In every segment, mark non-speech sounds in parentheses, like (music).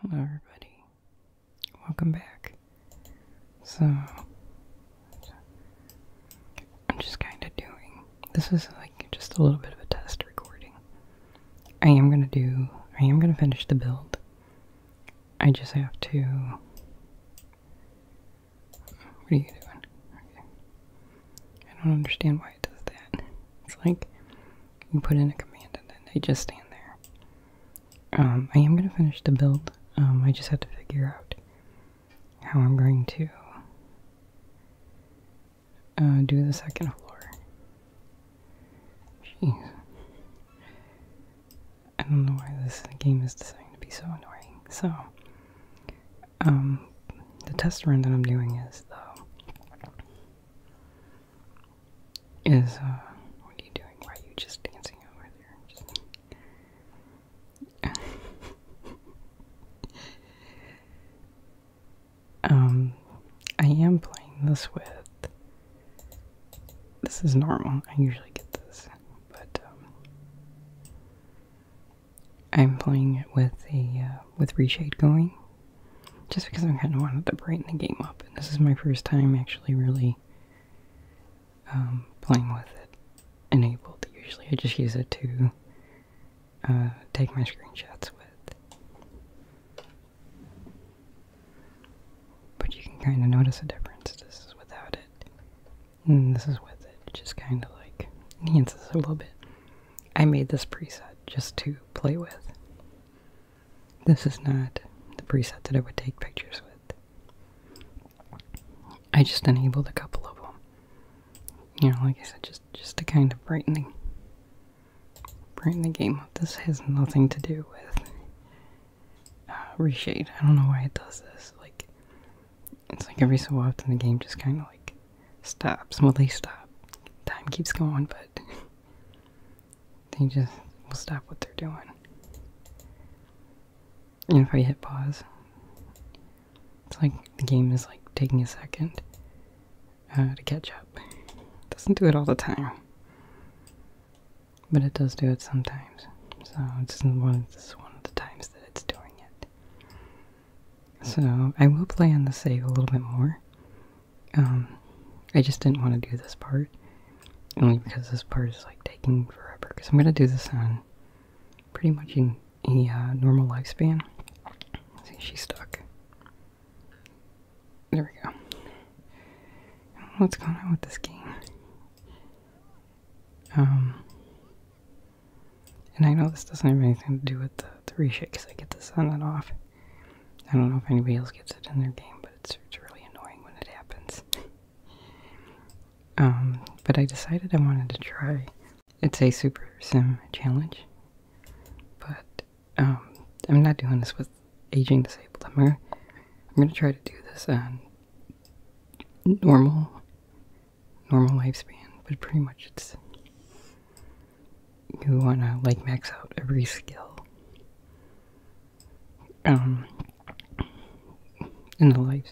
Hello, everybody. Welcome back. So, I'm just kind of doing this is like just a little bit of a test recording. I am gonna do, I am gonna finish the build. I just have to. What are you doing? I don't understand why it does that. It's like you put in a command and then they just stand there. Um, I am going to finish the build. Um, I just have to figure out how I'm going to uh, do the second floor. Jeez. I don't know why this game is designed to be so annoying. So, um, the test run that I'm doing is, though, is, uh, what are you doing? Why are you just dancing over there? (laughs) um, I am playing this with, this is normal, I usually get this, but, um, I'm playing it with a, uh, with reshade going just because I kind of wanted to brighten the game up, and this is my first time actually really um, playing with it enabled. Usually I just use it to uh, take my screenshots with. But you can kind of notice a difference. This is without it, and this is with it. Just kind of like enhances a little bit. I made this preset just to play with. This is not the preset that I would take pictures with. I just enabled a couple of them. You know, like I said, just, just to kind of brighten the, brighten the game up. This has nothing to do with uh, reshade. I don't know why it does this. Like, it's like every so often the game just kind of like stops. Well, they stop. Time keeps going, but (laughs) they just will stop what they're doing. And if I hit pause, it's like the game is like taking a second uh, to catch up. doesn't do it all the time, but it does do it sometimes. So this is one of the times that it's doing it. So I will play on the save a little bit more. Um, I just didn't want to do this part. Only because this part is like taking forever. Because I'm going to do this on pretty much in a uh, normal lifespan. Let's see, she's stuck. There we go. What's going on with this game? Um, and I know this doesn't have anything to do with the, the reshake because I get the sun and off. I don't know if anybody else gets it in their game, but it's, really annoying when it happens. (laughs) Um, but I decided I wanted to try. It's a Super Sim challenge, but um, I'm not doing this with aging disabled. I'm gonna, I'm gonna try to do this on normal, normal lifespan, but pretty much it's you want to like max out every skill um in the lives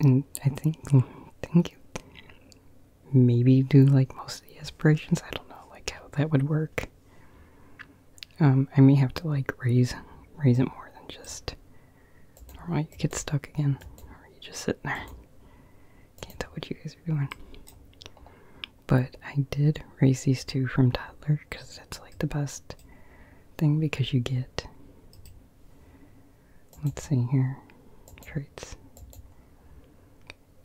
and i think think maybe do like most of the aspirations i don't know like how that would work um i may have to like raise raise it more than just or you get stuck again or are you just sitting there can't tell what you guys are doing but I did raise these two from toddler because that's like the best thing because you get. Let's see here. Traits.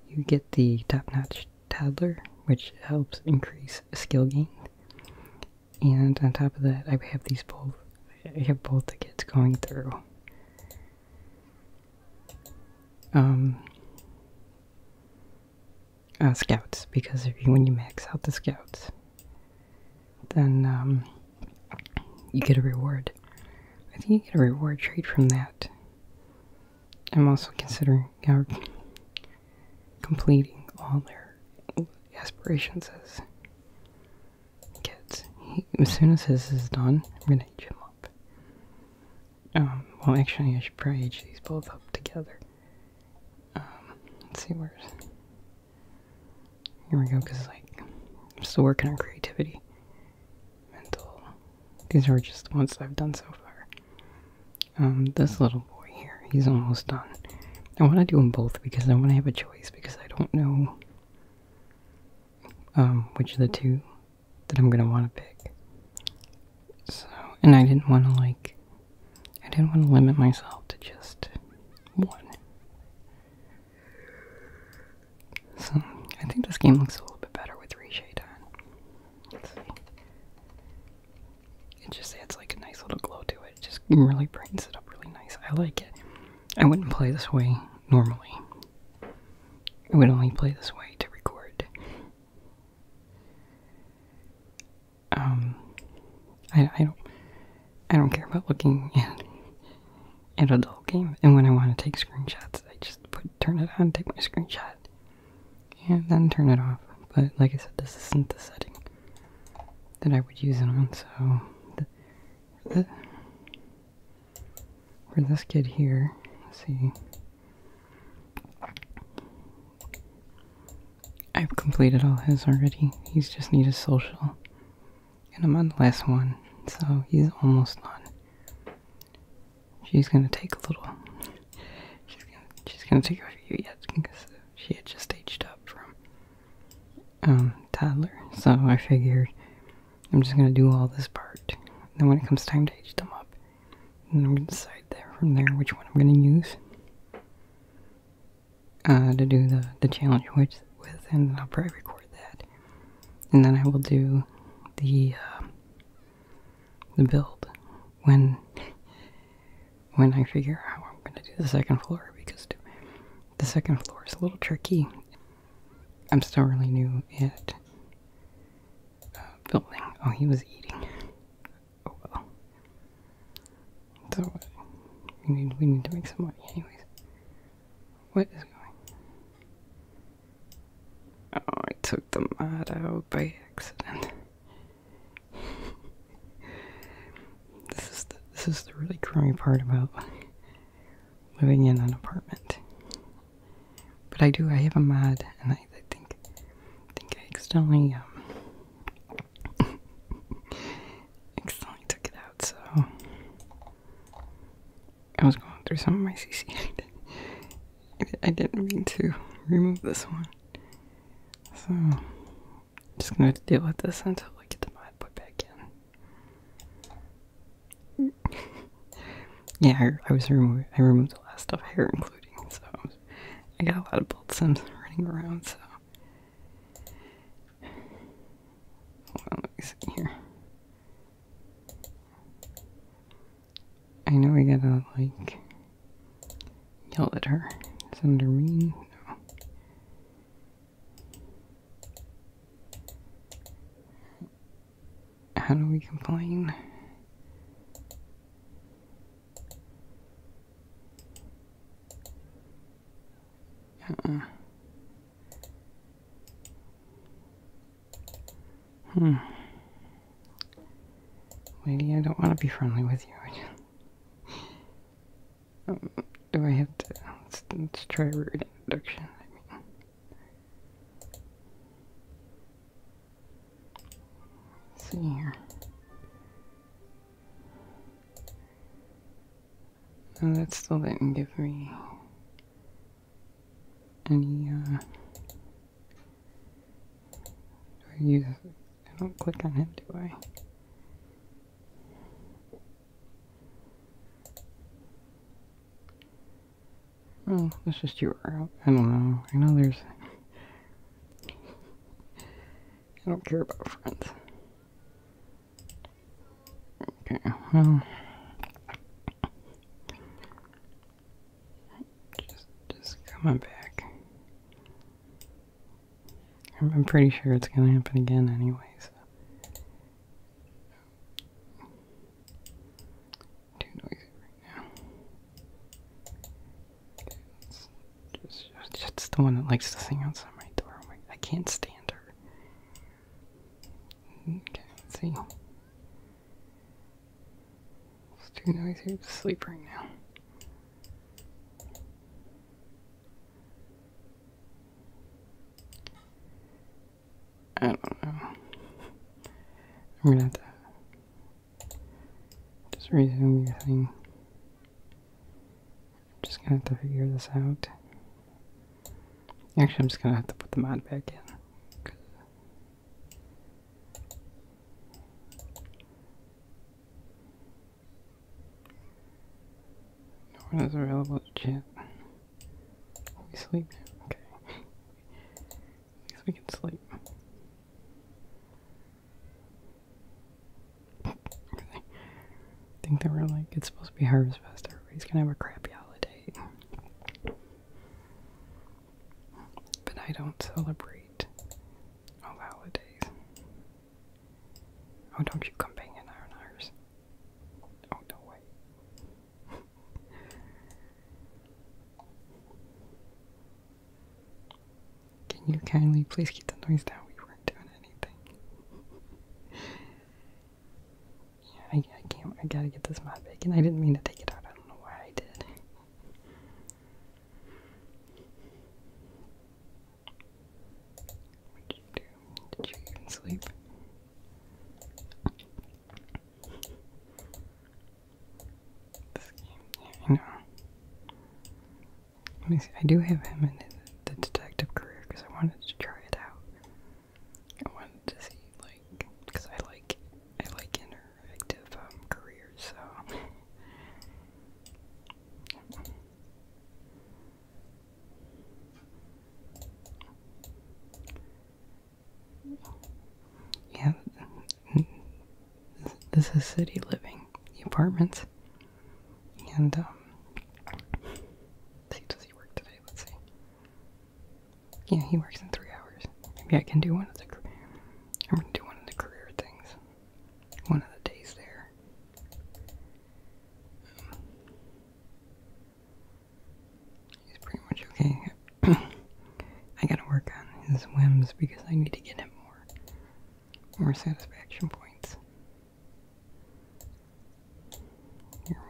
You get the top notch toddler, which helps increase skill gain. And on top of that, I have these both. I have both the kids going through. Um, uh, scouts because when you max out the scouts, then um, you get a reward. I think you get a reward trade from that. I'm also considering uh, completing all their aspirations as soon as this is done, I'm gonna jump up. Um, well, actually, I should probably age these both up together. Um, let's see where's. Here we go, because, like, I'm still working on creativity. Mental. These are just the ones I've done so far. Um, this little boy here, he's almost done. I want to do them both because I want to have a choice because I don't know um, which of the two that I'm going to want to pick. So, and I didn't want to like, I didn't want to limit myself to just one. So, I think this game looks a little bit better with reshade on. Let's see. It just adds like a nice little glow to it. It just really brightens it up really nice. I like it. I wouldn't play this way normally. I would only play this way to record um, I, I don't, I don't care about looking (laughs) at at adult game. And when I want to take screenshots, I just turn it on, take my screenshot, and then turn it off. But like I said, this isn't the setting that I would use it on. So, the, for this kid here, let's see. I've completed all his already. He's just need a social. And I'm on the last one, so he's almost done. She's gonna take a little. She's gonna, take a few yet because she had just aged up from um, toddler. So I figured I'm just gonna do all this part. then when it comes time to age them up, I'm going to decide there from there which one I'm going to use uh, to do the, the challenge with, with, and I'll probably record that. And then I will do the, um, the build when, when I figure out I'm going to do the second floor, because the second floor is a little tricky. I'm still really new at uh, building. Oh, he was eating. Oh well. So we need we need to make some money anyways. What is going? Oh, I took the mod out by accident. (laughs) this is this is the really crummy part about living in an apartment. But I do I have a mod and I I think, I um, (laughs) accidentally, took it out. So I was going through some of my CC. (laughs) I didn't mean to remove this one. So I'm just gonna deal with this until I get the mod back in. (laughs) yeah, I, was removed. I removed the last stuff here, including so I'm I got a lot of bold sims (laughs) running around, so. Hold on, let me here. I know we gotta, like, yell at her. Send her mean? How do we complain? Uh Hmm. Lady, I don't want to be friendly with you. Um, do I have to? Let's, let's try introduction see here. No, that still didn't give me any, uh, do I use, I don't click on him, do I? Oh, that's just URL. I don't know. I know there's I don't care about friends. Okay, well. Just, just coming back. I'm, pretty sure it's gonna happen again anyway, Too noisy right now. Just, that's the one that likes to sing outside my door. I can't stand her. Okay, let's see. It's too noisy to sleep right now. I don't know. I'm gonna have to just resume your thing. just gonna have to figure this out. Actually, I'm just gonna have to put the mod back in. No one is available to chat. We sleep. Okay. I guess we can sleep. I think that we're like, it's supposed to be Harvest Fest. Everybody's gonna have a crappy holiday. But I don't celebrate all holidays. Oh, don't you come in on ours. Oh, no way. Can you kindly please keep the noise down? We weren't doing anything. yeah, I, can't. I gotta get this mod back. And I didn't mean to take it out. I don't know why I did. What did you sleep? This game, you know. Let me see. I do have him in the detective career because I wanted to try it out. I wanted to see like because I like I like interactive um, careers, so. (laughs) Yeah, this is city living, the apartments. And, um, see, does he work today? Let's see. Yeah, he works in three hours. Maybe I can do one of the, I'm gonna do one of the career things. One of the days there. he's pretty much okay. (coughs) I gotta work on his whims because I need to get him more more, satisfaction points.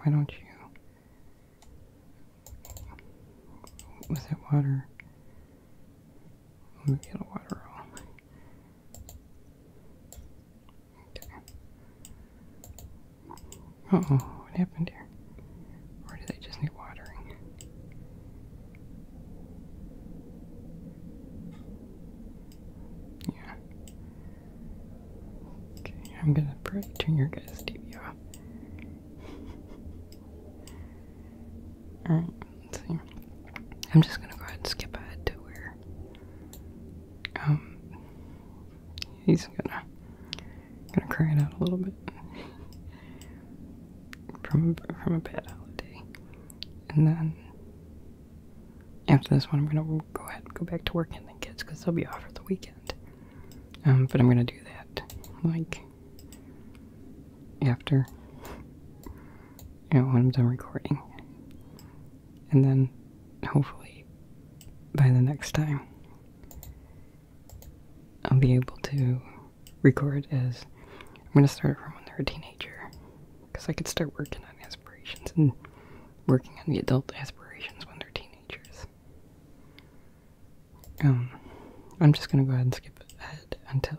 why don't you? Was that water? Let me get a water roll. oh, what happened here? Or do they just need watering? Yeah. Okay, I'm gonna probably turn your guys' TV off. Alright, see. I'm just gonna go ahead and skip ahead to where um he's gonna gonna cry it out a little bit. (laughs) from from a bad holiday, and then after this one, I'm gonna go ahead and go back to working the kids because they'll be off for the weekend. Um, but I'm gonna do that like after you know when I'm done recording, and then hopefully by the next time. I'll be able to record is I'm going to start from when they're a teenager. Because I could start working on aspirations and working on the adult aspirations when they're teenagers. Um, I'm just going to go ahead and skip ahead until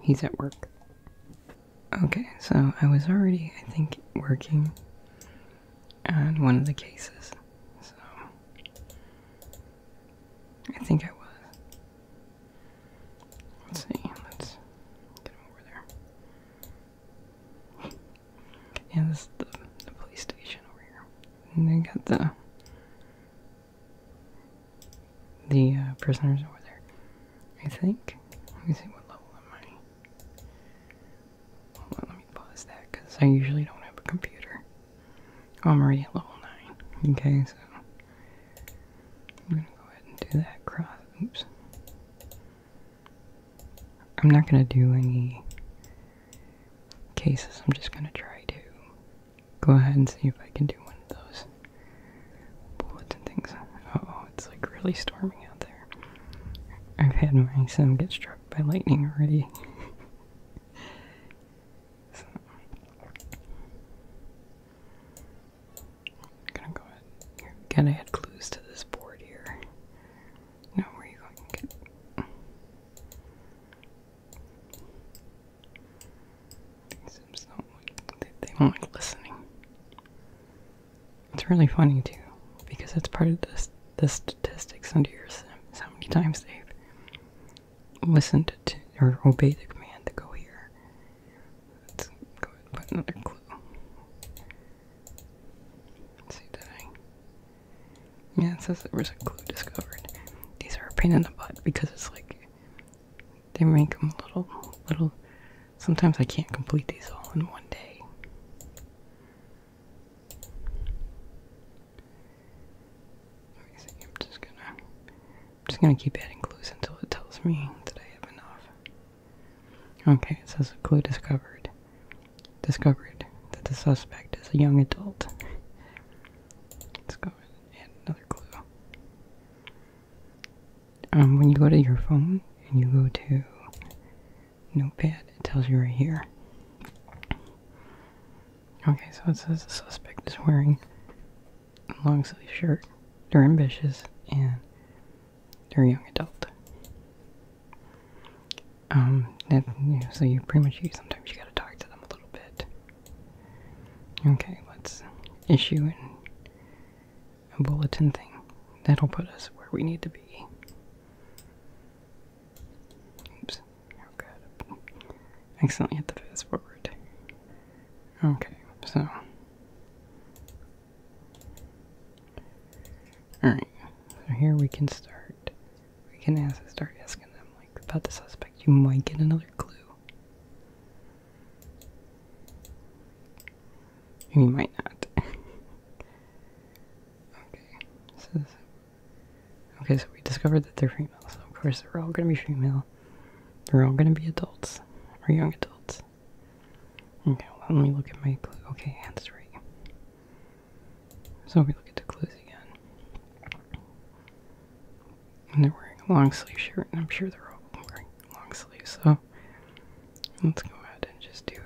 he's at work. Okay, so I was already, I think, working on one of the cases. So, I think I was. Let's see. Let's get him over there. (laughs) Yeah, this is the, police station over here. And they got the the uh, prisoners over there. I think. Let me see what level am I. Hold on, let me pause that because I usually don't have a computer. I'm already at level 9. Okay, so I'm gonna go ahead and do that cross. Oops. I'm not gonna do any cases. I'm just gonna try to go ahead and see if I can do one of those bullets and things. oh, it's like really storming out there. I've had my son get struck by lightning already. (laughs) So, I'm gonna go ahead. You're going add clues to this board here. No, where are you going? These Sims don't they, will not like listening. It's really funny too, because it's part of this the statistics under your sim. How many times they've Listen to or obey the command to go here. Let's go put another clue. see that Yeah, it says there was a clue discovered. These are a pain in the butt because it's like they make them little little sometimes I can't complete these all in one day. I am just gonna, just gonna keep adding clues until it tells me that I have enough. Okay, it says a clue discovered. Discovered that the suspect is a young adult. Let's go add another clue. Um, when you go to your phone and you go to Notepad, it tells you right here. Okay, so it says the suspect is wearing long sleeve shirt. They're ambitious and they're young adult. Um, so you pretty much you sometimes you gotta talk to them a little bit. Okay, let's issue a bulletin thing. That'll put us where we need to be. Oops. Oh god. accidentally hit the fast forward. Okay, so. Alright, so here we can start. We can ask, start asking them, like, about the suspect. You might get another clue. And you might not. (laughs) okay, so, okay, so we discovered that they're female, of course they're all gonna be female. They're all gonna be adults or young adults. Okay, let me look at my clue. Okay, that's right. So we look at the clues again. And they're wearing a long sleeve shirt, and I'm sure they're all wearing long sleeves, so let's go ahead and just do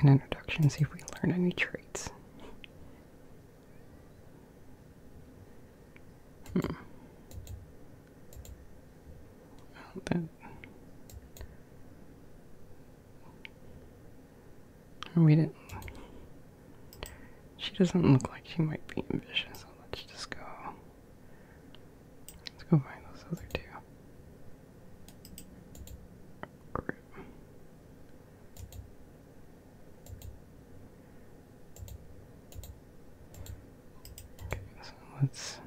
an introduction, see if we learn any traits. Hmm. Well, We didn't. She doesn't look like she might be ambitious, let's just go. Let's go find those other two. Okay, so let's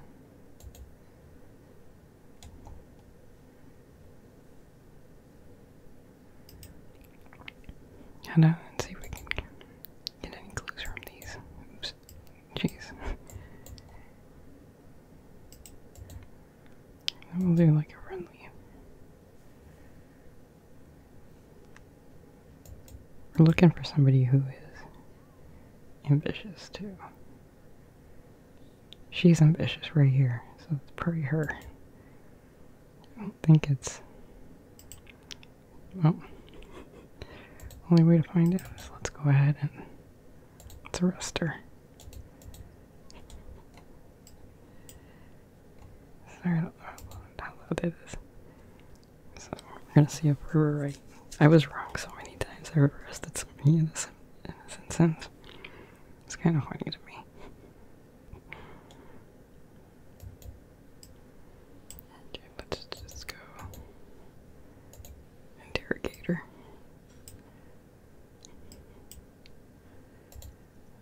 head out and see if we can get any clues from these. Oops. Jeez. And we'll do like a friendly. We're looking for somebody who is ambitious too. She's ambitious right here, so it's probably her. I don't think it's. Well, only way to find out let's go ahead and let's arrest her. Sorry, I don't downloaded this. So we're gonna see if we were right. I was wrong so many times. I arrested so many innocent innocent sins. It's kind of funny to me. Okay, let's just go interrogator.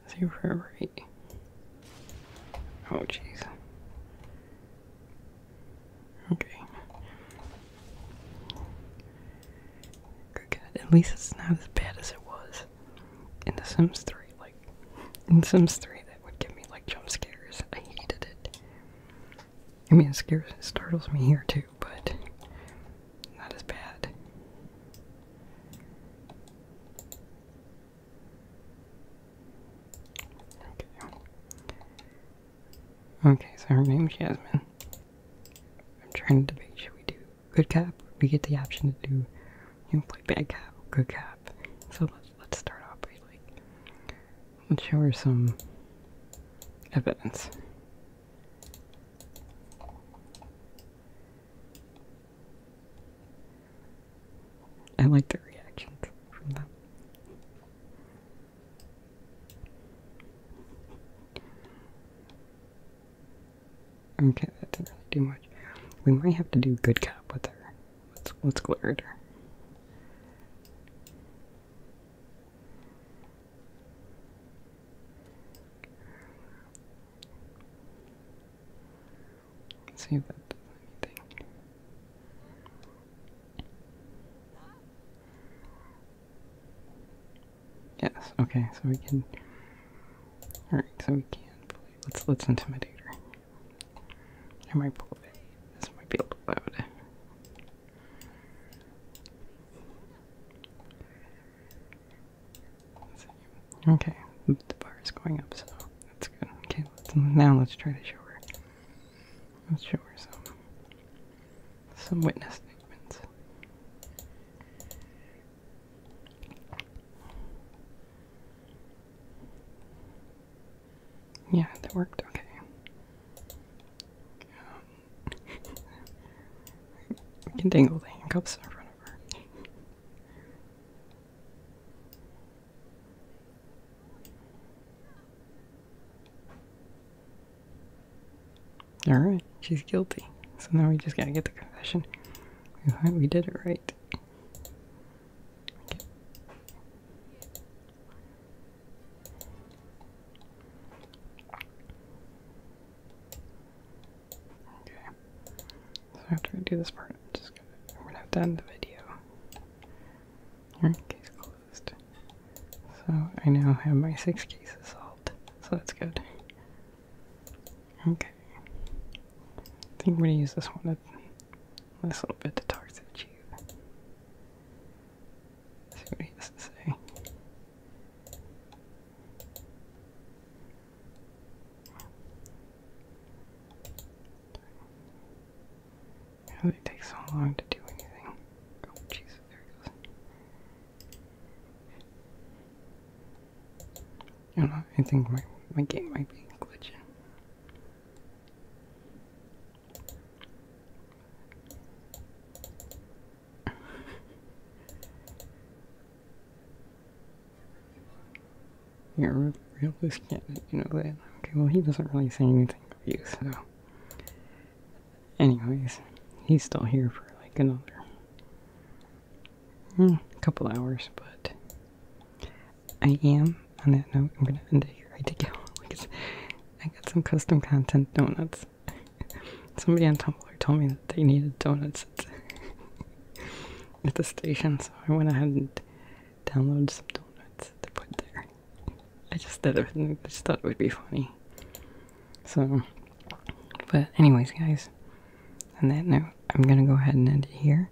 Zero rate. Oh, jeez. Okay. At least it's not as bad as it was in The Sims 3. Like, in Sims 3, that would give me, like, jump scares. I hated it. I mean, it scares, it startles me here, too, but not as bad. Okay. Okay, so her name's Jasmine. I'm trying to make sure we do good cap? We get the option to do you know, play bad cap, good cap. So let's let's start off by like let's show her some evidence. I like the reactions from them. Okay, that does not do much. We might have to do good cop with her. Let's let's glare at her see that does anything. Yes, okay, so we can Alright, so we can play. Let's let's intimidate her. I might pull it. This might be a little loud. Okay, the bar is going up, so that's good. Okay, now let's try to show her. Let's show her some some witness statements. Yeah, that worked okay. we um, can dangle the handcuffs in front of her. Alright, she's guilty. So now we just gotta get the confession. We did it right. Okay. So after I do this part, I'm just gonna, we're gonna have to end the video. Here, case closed. So I now have my six cases solved, so that's good. Okay. I think we're gonna use this one, a, this little bit to talk to the chief. See what he has to say. It really so long to do anything. Oh, jeez, there it goes. I don't know, I think my, my game might be glitching. You're real blue skin, you know that. Okay, well, he doesn't really say anything to you, so. Anyways, he's still here for like another mm, couple hours, but I am, on that note, I'm gonna end it here. I did get because (laughs) I got some custom content donuts. (laughs) Somebody on Tumblr told me that they needed donuts at, (laughs) at the station, so I went ahead and download some donuts to put there. I just did it. I just thought it would be funny. So, but anyways, guys. and then note, I'm gonna go ahead and end it here.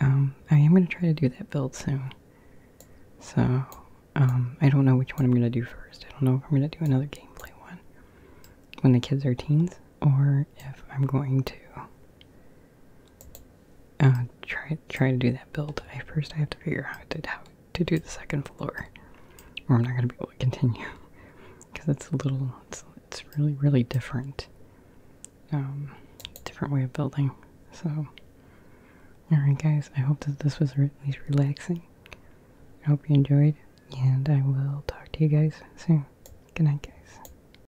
Um, I am gonna try to do that build soon. So, um, I don't know which one I'm gonna do first. I don't know if I'm gonna do another gameplay one when the kids are teens, or if I'm going to uh, try trying to do that build. I first I have to figure out how to, do the second floor, I'm not gonna be able to continue because (laughs) it's a little it's it's really really different, um, different way of building. So, all right, guys. I hope that this was at least relaxing. I hope you enjoyed, and I will talk to you guys soon. Good night, guys.